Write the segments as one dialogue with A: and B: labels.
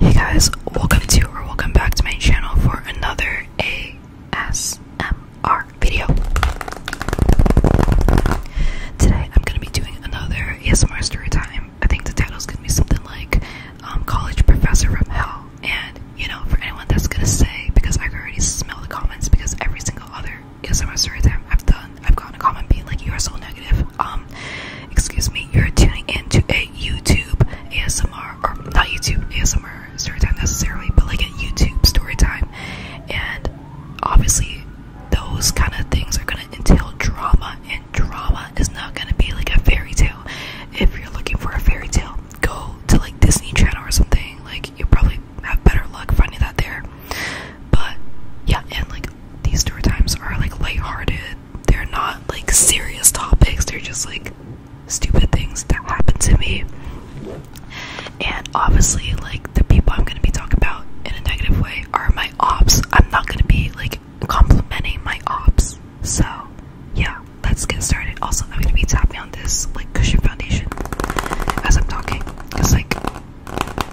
A: Hey guys, welcome to or welcome back to my channel for another ASMR video. Today I'm gonna be doing another ASMR story time. I think the title's gonna be something like um, College Professor from Hell. And you know, for anyone that's gonna say, because I already smell the comments, because every single other ASMR story time I've done, I've gotten a comment being like, you are so negative. Um, excuse me, you're tuning in to a YouTube ASMR or not YouTube ASMR story time necessarily, but like a YouTube story time. And obviously those kind of things are gonna entail drama and drama is not gonna be like a fairy tale. If you're looking for a fairy tale, go to like Disney Channel or something. Like you probably have better luck finding that there. But yeah, and like these story times are like light-hearted they're not like serious topics, they're just like stupid things that happen to me. And obviously, like the people I'm gonna be talking about in a negative way are my ops. I'm not gonna be like complimenting my ops. So yeah, let's get started. Also, I'm gonna be tapping on this like cushion foundation as I'm talking. Cause like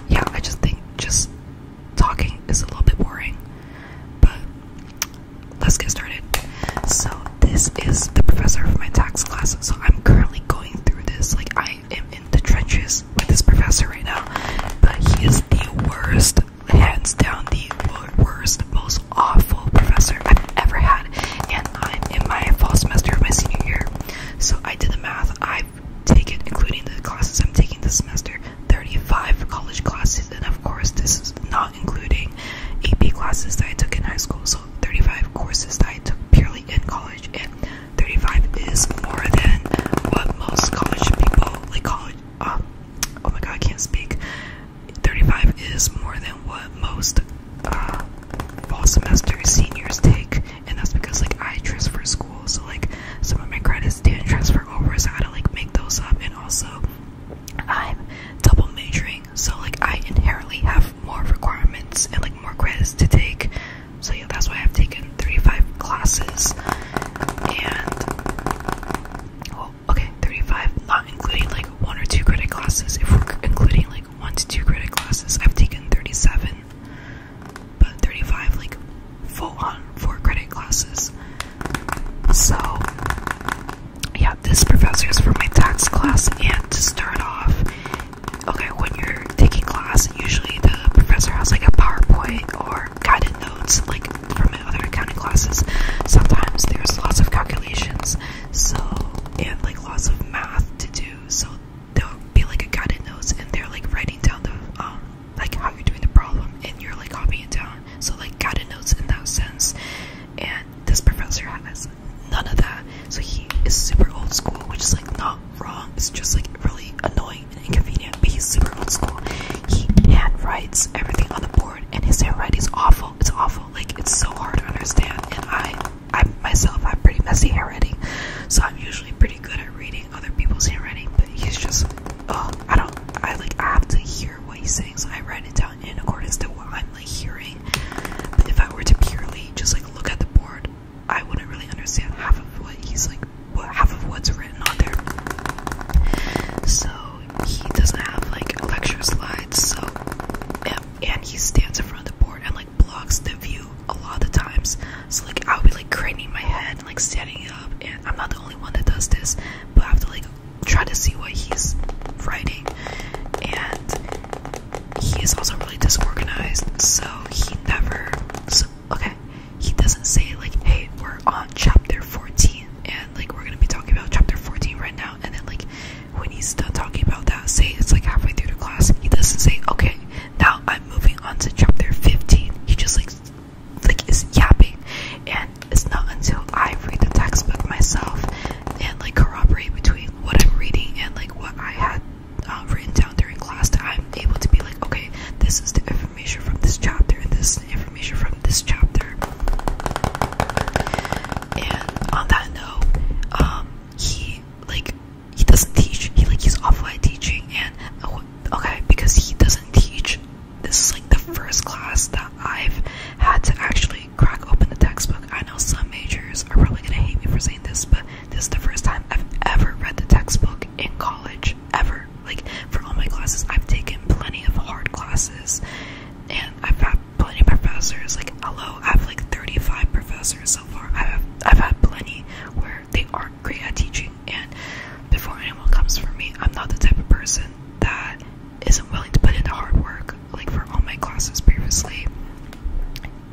A: yeah, I just think just talking is a little bit boring, but let's get started. So, this is the professor for my tax class. So, I'm currently going through this. Like, I am in the trenches with this professor right now, but he is the worst, hands down, the worst, most awful professor I've ever had. And I'm in my fall semester of my senior year. So, I did the math. I've taken, including the classes I'm taking this semester, 35 college classes, and i of course this is not including AP classes that I took in high school so 35 courses that I took purely in college and 35 is more than what most college people like college uh, oh my god I can't speak 35 is more than what most uh, fall semester seniors take and that's because like I transfer school so like some of my credits didn't transfer over, so I had to like make those up. And also, I'm double majoring, so like I inherently have more requirements and like more credits to take. So yeah, that's why I've taken 35 classes and well, okay, 35, not including like one or two credit classes. If we're including like one to two credit classes, I've taken 37, but 35 like full on four credit classes. So, yeah, this professor is for my tax class, and to start off, okay, when you're taking class, usually the professor has like a PowerPoint or guided notes, like from other accounting classes. Sometimes there's lots of calculations, so and like lots of math to do, so there'll be like a guided notes, and they're like writing down the um, like how you're doing the problem and you're like copying it down so like got a notes in that sense and this professor has none of that so he is super old school which is like not wrong it's just like really annoying and inconvenient but he's super old school he handwrites everything on the board and his handwriting is awful it's awful like it's so hard to understand and i i myself have pretty messy handwriting so i'm usually pretty good at reading other people's handwriting, but he's just, oh, I don't, I like, I have to hear what he's saying, so I write it down in accordance to what I'm like hearing. But if I were to purely just like look at the board, I wouldn't really understand half of what he's like, what half of what's written on there. So he doesn't have like lecture slides, so and, and he stands in front of the board and like blocks the view a lot of the times. So like I'll be like craning my head and like setting up and i'm not the only one that does this but i have to like try to see what he's writing and he is also really disorganized so he never okay he doesn't say like hey we're on chapter 14 and like we're gonna be talking about chapter 14 right now and then like when he's done talking about that say it's like halfway through the class he doesn't say okay now i'm moving on to chapter 15 he just like like is yapping and it's not until I read the textbook myself and like corroborate between what I'm reading and like what I had uh, written down during class that I'm able to be like okay this is the information from this chapter and this is information from this chapter and on that note um he like he doesn't teach he like he's offline teaching and uh, okay, because he doesn't teach. This is like the first class that I've had to actually crack open the textbook. I know some majors are probably gonna hate me for saying this, but this is the first time I've ever read the textbook in college, ever. Like, for all my classes, I've taken plenty of hard classes, and I've had plenty of professors. Like, hello, I have like 35 professors so far. I've, I've had plenty where they aren't great at teaching and before anyone comes for me i'm not the type of person that isn't willing to put in the hard work like for all my classes previously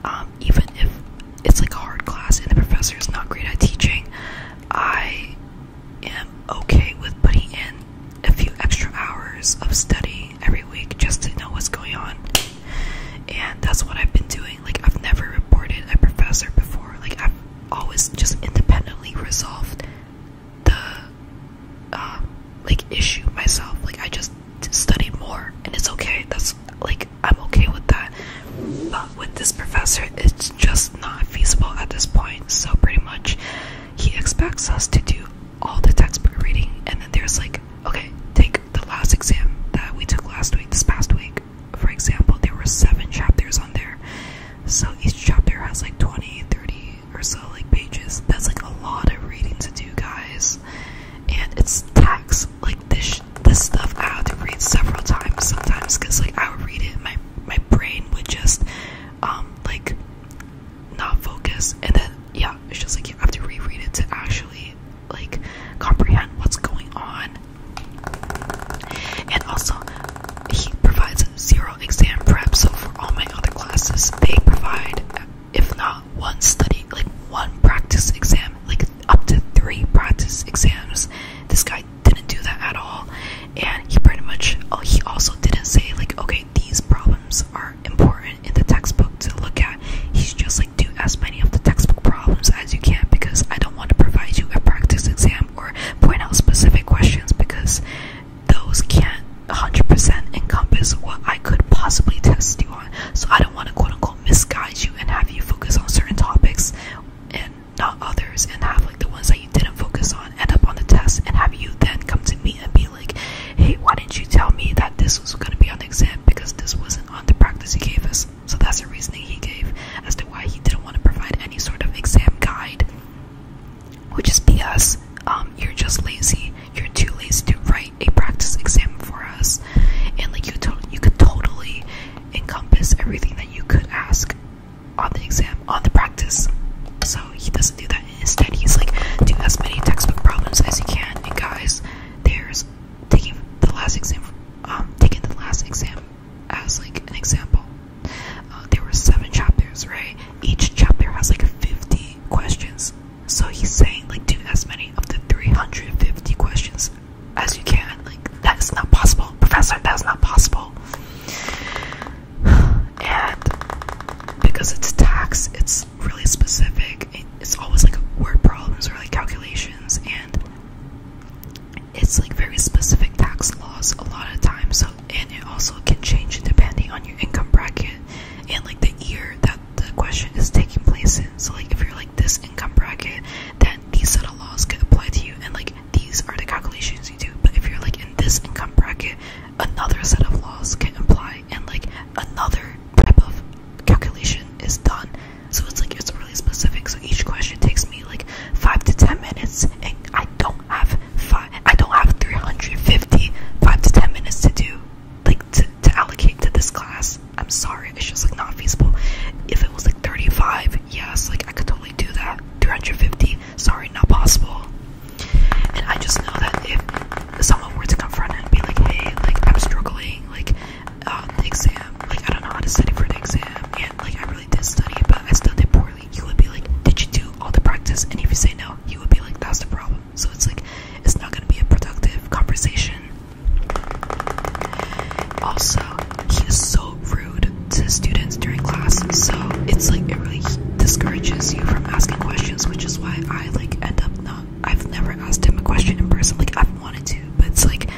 A: um, even if it's like a hard class and the professor is not great at teaching i am okay with putting in a few extra hours of study every week just to know what's going on and that's what i've been doing like i've never reported a professor before like i've always just independently resolved the uh, like issue myself. Like I just studied more, and it's okay. That's like I'm okay with that. But with this professor, it's just not feasible at this point. So pretty much, he expects us to do all the textbook reading, and then there's like, okay, take the last exam that we took last week, this past week for example there were seven chapters on there so each chapter has like 20 30 or so like pages that's like a lot of reading to do guys and it's text like this this stuff i have to read several times sometimes because like i would read it my my brain would just um like not focus and then yeah it's just like you have to reread it to actually like comprehend what's going on and also, he provides zero exam prep, so for all my other classes, they provide, if not one study, like one practice exam, like up to three practice exams. This guy didn't do that at all, and he pretty much, oh, he also didn't say, like, okay, these problems are important in the textbook to look at. He's just like, do as many of the textbook problems as you can because I don't want to provide you a practice exam or point out specific questions because those can't 100% encompass what I could possibly test you on. So I don't want to quote unquote misguide you and have you focus on certain topics and not others and have like the ones that you didn't focus on end up on the test and have you then come to me and be like, hey, why didn't you tell me that this was going to be on the exam because this wasn't on the practice you gave us? So that's the reasoning he gave as to why he didn't want to provide any sort of exam guide. Which is BS. Um, you're just lazy. You're too lazy to write a practice exam for us, and like you, could totally encompass everything that you could ask on the exam, on the practice. So he doesn't do that. Instead, he's like, do as many textbook problems as you can. And guys, there's taking the last exam, um, taking the last exam as like an example. Uh, there were seven chapters, right? Each chapter has like 50 questions. So he's saying like do as many of the 350 questions as you can. Like that is not possible, Professor. That is not possible. And because it's tax, it's really specific. It's always like word problems or like calculations, and it's like very specific tax laws a lot of times so and it also can change depending on your income bracket and like the year that the question is taking place in so like if you're like this income bracket then these set of laws could apply to you and like these are the calculations you do but if you're like in this income bracket another set of laws can apply and like another type of calculation is done so it's like it's really specific. So each question takes me like five to ten minutes, and I don't have five. I don't have 350 five to ten minutes to do like to, allocate to this class. I'm sorry, it's just like not feasible. If it was like 35, yes, like I could totally do that. 350, sorry, not possible. And I just know that if someone were to confront it and be like, hey, like I'm struggling, like uh, the exam. Like, I don't know how to study for the exam, and like, I really did study, but I studied poorly. You would be like, Did you do all the practice? And if you say no, you would be like, That's the problem. So it's like, it's not gonna be a productive conversation. Also, he is so rude to students during class, so it's like, it really discourages you from asking questions, which is why I like end up not. I've never asked him a question in person, like, I've wanted to, but it's like,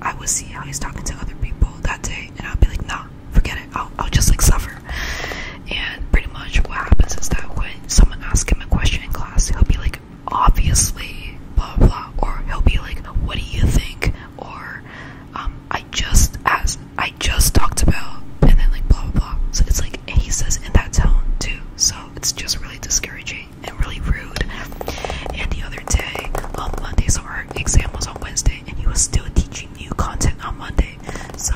A: I would see how he's talking to other people that day, and I'd be like, nah, forget it. I'll, just like suffer. And pretty much what happens is that when someone asks him a question in class, he'll be like, obviously, blah blah, or he'll be like, what do you think? Or um, I just asked, I just talked about, and then like blah blah So it's like he says in that tone too. So it's just really discouraging and really rude. And the other day, on um, Monday, so our exam was on Wednesday, and he was still teaching new content on Monday. So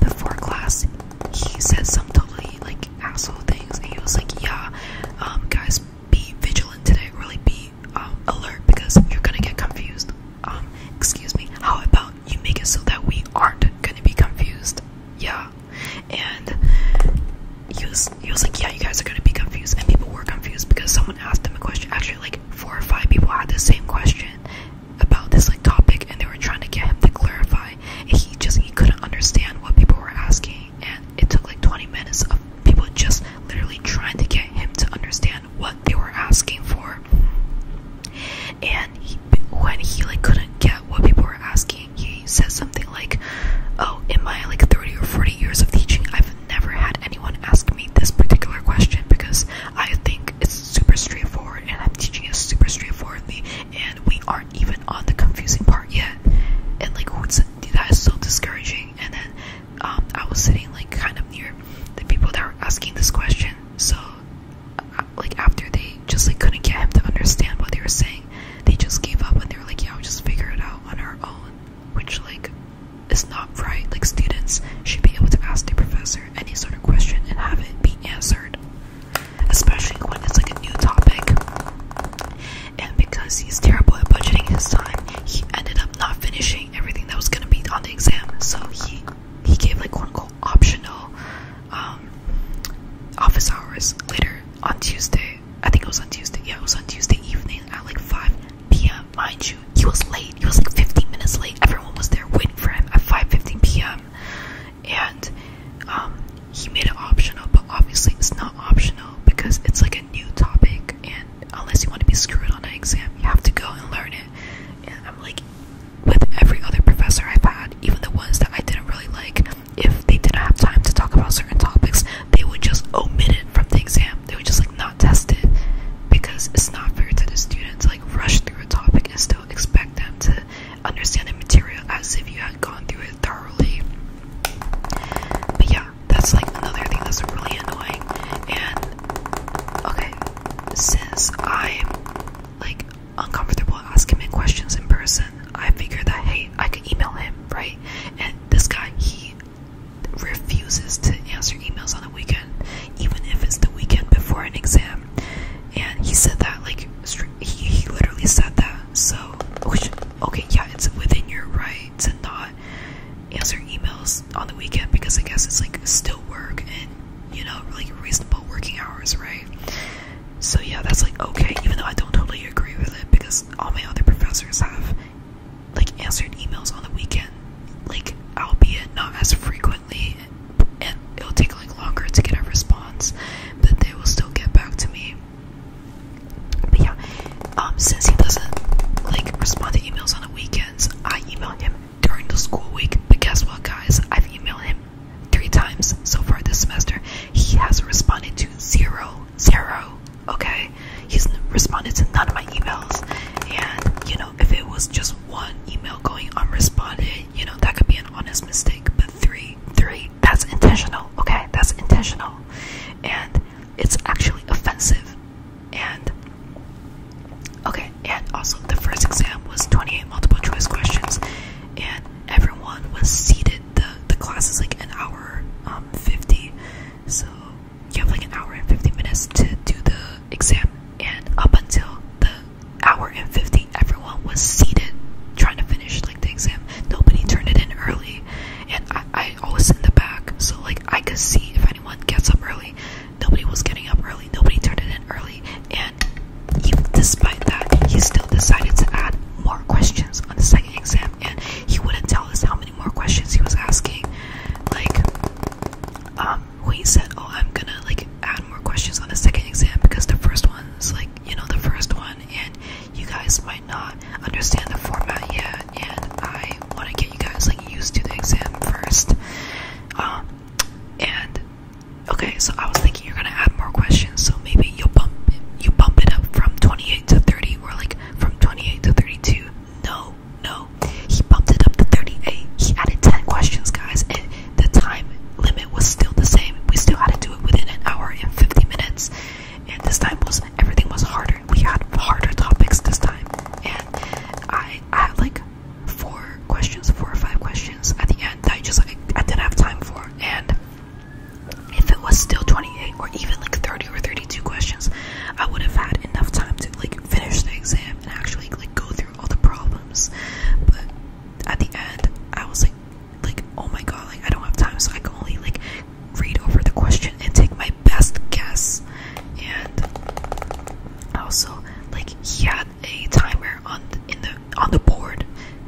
A: before class, he said some totally like asshole things, and he was like, "Yeah, um, guys, be vigilant today. Really be um, alert because you're gonna get confused." Um, excuse me. How about you make it so that we aren't gonna be confused? Yeah, and he was, he was like, yeah, you guys are gonna be confused, and people were confused because someone asked them a question. Actually, like four or five people had the same question about this like topic, and they were trying to get him to clarify. And he just he couldn't understand what people were asking, and it took like 20 minutes of people just literally trying to get him to understand what they were asking for. And he, when he like couldn't get what people were asking he, he says something like, "Oh, in my like 30 or 40 years of teaching, I've never had anyone ask me this particular question because I think it's super straightforward, and I'm teaching it super straightforwardly, and we aren't even on the confusing part yet." And like, what's that is so discouraging. And then um, I was sitting like kind of near the people that were asking this question, so uh, like after they just like couldn't get him to understand what they were saying anything. They just gave up and they were like, yeah, we'll just figure it out on our own. Which, like, is not right. Like, students should be able to ask their professor any sort of question and have it be answered. Especially when it's like a new topic. And because he's terrible at budgeting his time, he ended up not finishing everything that was gonna be on the exam. So he he gave like quote unquote optional um office hours later on Tuesday I think it was on Tuesday. Yeah, it was on Tuesday evening at like 5 p.m. Mind you, he was late. He was like 15 minutes late. Everyone was there waiting for him at 5:15 p.m. And um, he made it optional, but obviously it's not optional because it's like a new topic. And unless you want to be screwed on an exam, you have to go and learn it. And I'm like, with every other professor I've had, even the ones that I didn't really like, if they didn't have time to talk about certain topics, they would just omit it from the exam. They would just like not test it because it's not fair to the students like rush through a topic and still expect them to understand the material as if you had gone through it thoroughly. But yeah, that's like another thing that's really annoying. And okay, since I'm like uncomfortable asking questions in person. I figured that hey, I could email him, right? And this guy, he refuses to answer emails on the weekend, even if it's the weekend before an exam. And he said that, like, he, he literally said that. So, okay, yeah, it's within your right to not answer emails on the weekend because I guess it's like still work and you know, like reasonable working hours, right? So yeah, that's like okay, even though I don't totally agree with it because all my other professors have like answered emails on the weekend, like albeit not as frequently, and it'll take like longer to get a response, but they will still get back to me. But yeah, um, since he doesn't like respond to emails on the weekends, I emailed him during the school week. But guess what, guys? I've emailed him three times so far this semester. He has responded to zero zero. Okay, he's responded to none of my emails, and you know, if it was just one email going unresponded, you know, that could be an honest mistake, but three, three, that's intentional. Okay, that's intentional, and it's actually offensive. And okay, and also the first exam was 28 multiple choice questions, and everyone was seated the the class is like an hour um 50 so you have like an hour and 50 minutes to do the exam and up until the hour and 50 everyone was seated trying to finish like the exam nobody turned it in early and i, I always in the back so like i could see if anyone gets up early nobody was getting up early nobody turned it in early and despite that he still decided to add more questions on the second exam, and he wouldn't tell us how many more questions he was asking. Like, um, he said, "Oh, I'm gonna like add more questions on the second exam because the first one's like you know the first one, and you guys might not understand the format yet, and I want to get you guys like used to the exam first. Um, and okay, so I was thinking you're gonna have more questions, so maybe you'll bump it, you bump it up from 28 to 30, or like from 28 to 32. No, no, he bumped it up to 38. He added 10 questions, guys, and the time limit was still the same. We still had to do it within an hour and 50 minutes, and this time was everything was harder. We had harder topics this time, and I had like four questions, four or five questions at the end that I just I didn't have time for, and if it was still 28 or even like 30 or 32 questions, I would have had enough time to like finish the exam and actually like go through all the problems. But at the end, I was like, like oh my god, like I don't have time, so I can only like read over the question and take my best guess. And also, like he had a timer on in the on the board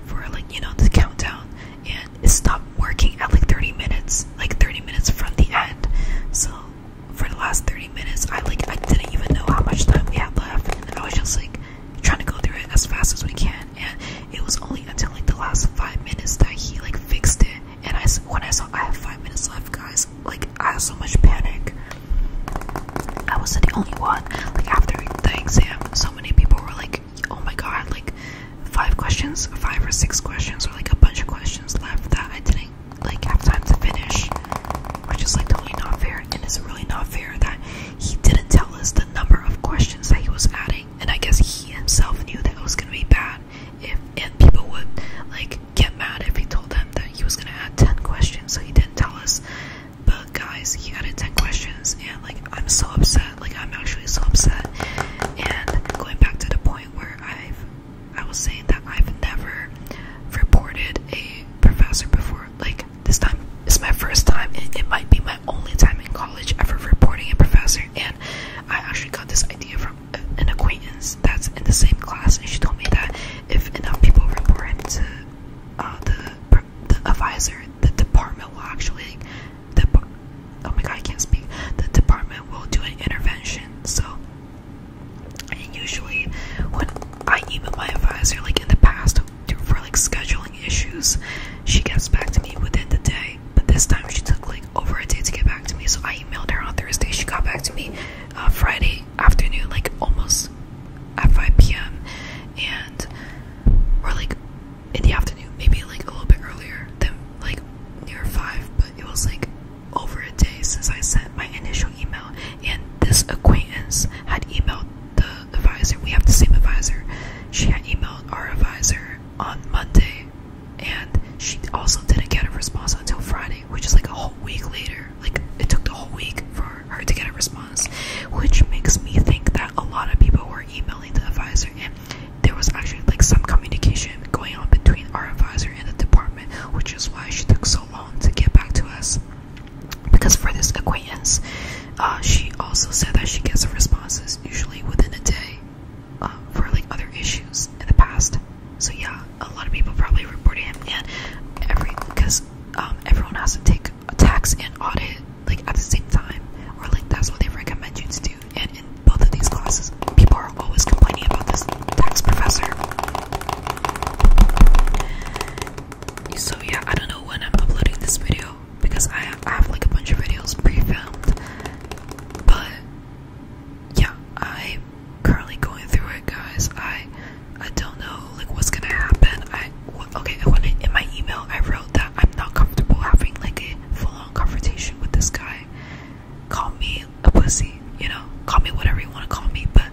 A: for like you know the countdown and it stopped working at like 30 minutes like 30 minutes from the end so for the last 30 minutes i like i didn't even know how much time we had left and i was just like trying to go through it as fast as we can and it was only until like the last five minutes that he like fixed it and i when i saw i have five minutes left guys like i had so much panic i wasn't the only one like after the exam so many people were like oh my god, like five questions, five or six questions, or like a bunch of questions left that I didn't like have time to finish, which is like totally not fair. And it's really not fair that he didn't tell us the number of questions that he was adding. And I guess he himself knew that it was gonna be bad if and people would like get mad if he told them that he was gonna add 10 questions, so he didn't tell us but guys, he got in 10 questions, and like I'm so upset. Like I'm actually so upset. And going back to the point where I've, I was saying that I've never reported a professor before. Like this time is my first time. It, it might be my only time in college ever reporting a professor. And I actually got this idea from an acquaintance that's in the same class, and she told me that if enough people report him to uh, the the advisor, the department will actually, the, oh my god, I can't speak. The department will do an intervention. So, and usually when I email my advisor, like in the past, for like scheduling issues, she gets back to me within the day. But this time she took like over a day to get back to me. So I emailed her on Thursday. She got back to me uh, Friday afternoon, like almost at 5 p.m. And we're like, in the afternoon, maybe like a little bit earlier than like near five, but it was like over a day since I sent my initial email, and this acquaintance had emailed the advisor. We have the same advisor. She had emailed our advisor on Monday, and she also didn't get a response until Friday, which is like a whole week later. Like it took the whole week for her to get a response which makes me think that a lot of people were emailing the advisor, and there was actually like some communication going on between our advisor and the department, which is why she took so long to get back to us. Because for this acquaintance, uh, she also said that she gets responses usually within a day uh, for like other issues in the past. So yeah, a lot of people probably reported him, and every because um, everyone has to take tax and audit like at the same time or like that's what they recommend you to do and in both of these classes people are always complaining about this tax professor so yeah i don't know when i'm uploading this video because i have, like a bunch of videos pre-filmed but yeah i'm currently going through it guys i i don't know like what's gonna happen i okay, when I, in my email, I wrote that I'm not comfortable having like a full-on confrontation with this guy. Call me a pussy, you know, call me whatever you want to call me, but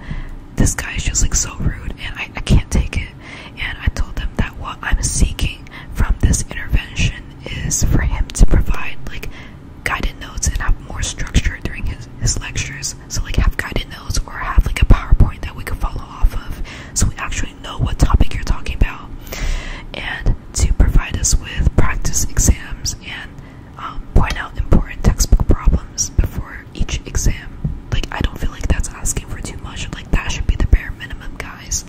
A: this guy is just like so rude, and I, I can't take it. And I told them that what I'm seeking from this intervention is for him to provide like guided notes and have more structure during his his lectures. So like have guided notes or have like a PowerPoint that we could follow off of so we actually know what topic you're talking about, and to provide us with practice exams and um, point out important textbook problems before each exam. Like, I don't feel like that's asking for too much. Like, that should be the bare minimum, guys.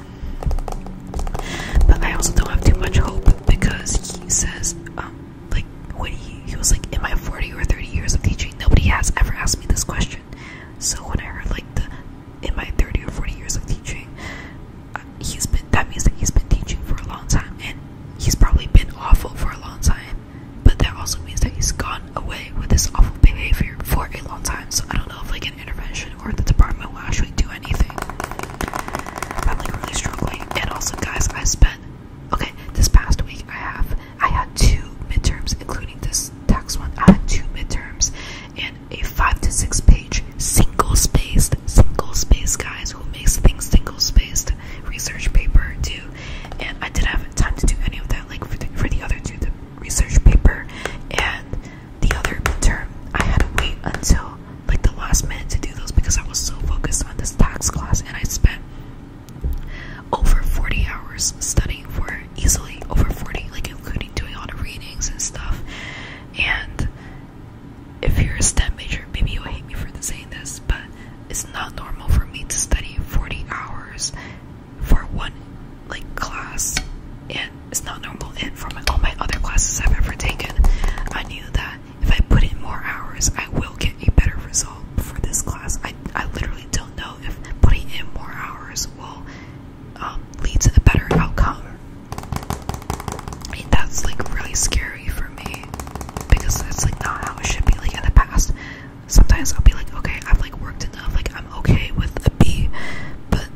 A: But I also don't have too much hope because he says, um, like, when he, he was like, in my 40 or 30 years of teaching, nobody has ever asked me this question. So when I heard like the in my 30 or 40 years of teaching, uh, he's been that means that he's been teaching for a long time and he's probably been awful for a long time. But that also means that he's gone away with this awful behavior for a long time. So I don't know if like an intervention or the department will actually do anything. I'm like really struggling. And also guys, I spent okay, this past week I have I had two midterms, including this tax one. I had two midterms and a five to six page single spaced, single spaced guys who makes things single spaced research paper too. And I didn't have time to do any of that, like for the, other two, the research paper and the other midterm. I had to wait until like the last minute to do those because I was so focused on this tax class and I spent over 40 hours studying for easily over 40, like including doing all the readings and stuff. And if you're a STEM major, maybe you'll hate me for saying this, but it's not normal for me to study 40 hours for one like class, and it's not normal. And for all my other classes I've ever taken, I knew that if I put in more hours, I will get a better result for this class. I I literally don't know if putting in more hours will um, lead to a better outcome. I that's like really scary for me because that's like not how it should be. Like in the past, sometimes I'll be like, okay, I've like worked enough, like I'm okay with a B, but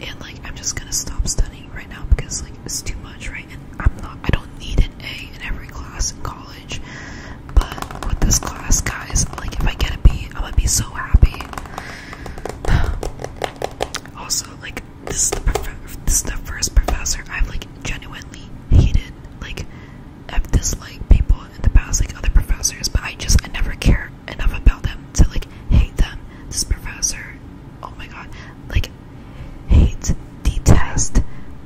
A: and like I'm just gonna stop studying right now because like it's too much, right? And I'm not, I don't need an A in every class in college. But with this class, guys, like if I get a B, I'm gonna be so happy. also, like this is the first professor I've like genuinely hated. Like I've disliked people in the past, like other professors, but I just I never care enough about them to like hate them. This professor, oh my god, like hate, detest,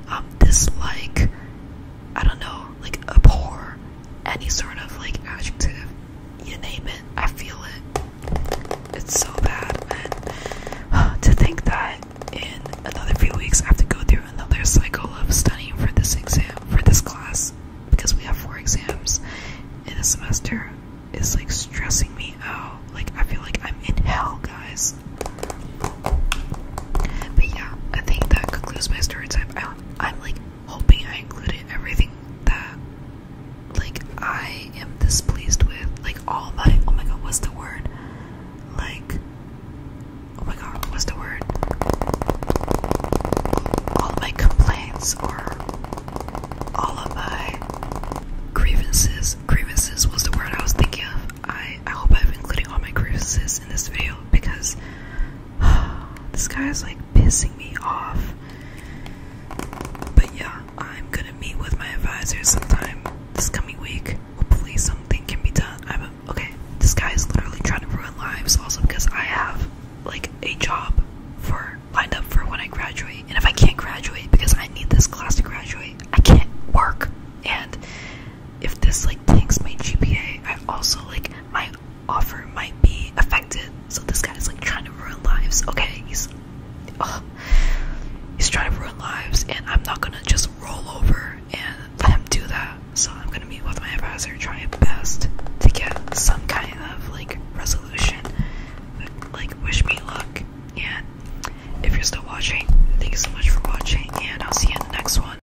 A: um, dislike, I don't know, like abhor, any sort of like adjective, you name it, I feel it. It's so bad, and to think that in another few weeks I have to go through another cycle of studying for this exam, for this class, because we have four exams in a semester, is like stressing me out. Like, I feel like I'm in hell, guys. But yeah, I think that concludes my story time. I'm like hoping I included everything that like I am displeased with. Like all my oh my god, what's the word? Like oh my god, what's the word? All my complaints or all of my grievances. Grievances was the word I was thinking of. I I hope I've included all my grievances in this video because this guy is like pissing me off. But yeah, I'm gonna meet with my advisor sometime this coming week. Hopefully, something can be done. I'm okay. This guy is literally trying to ruin lives, also because I have like a job for lined up for when I graduate, and if I can't graduate because I need this class to graduate, I can't work, and if this like tanks my GPA, I also like my offer might be affected. So this guy is like trying to ruin lives. Okay, he's he's trying to ruin lives, and I'm not gonna just roll over and let him do that. So I'm gonna meet with my advisor, try my best to get some kind of like resolution. Like wish me luck, and if you're still watching, thank you so much for watching, and I'll see you in the next one.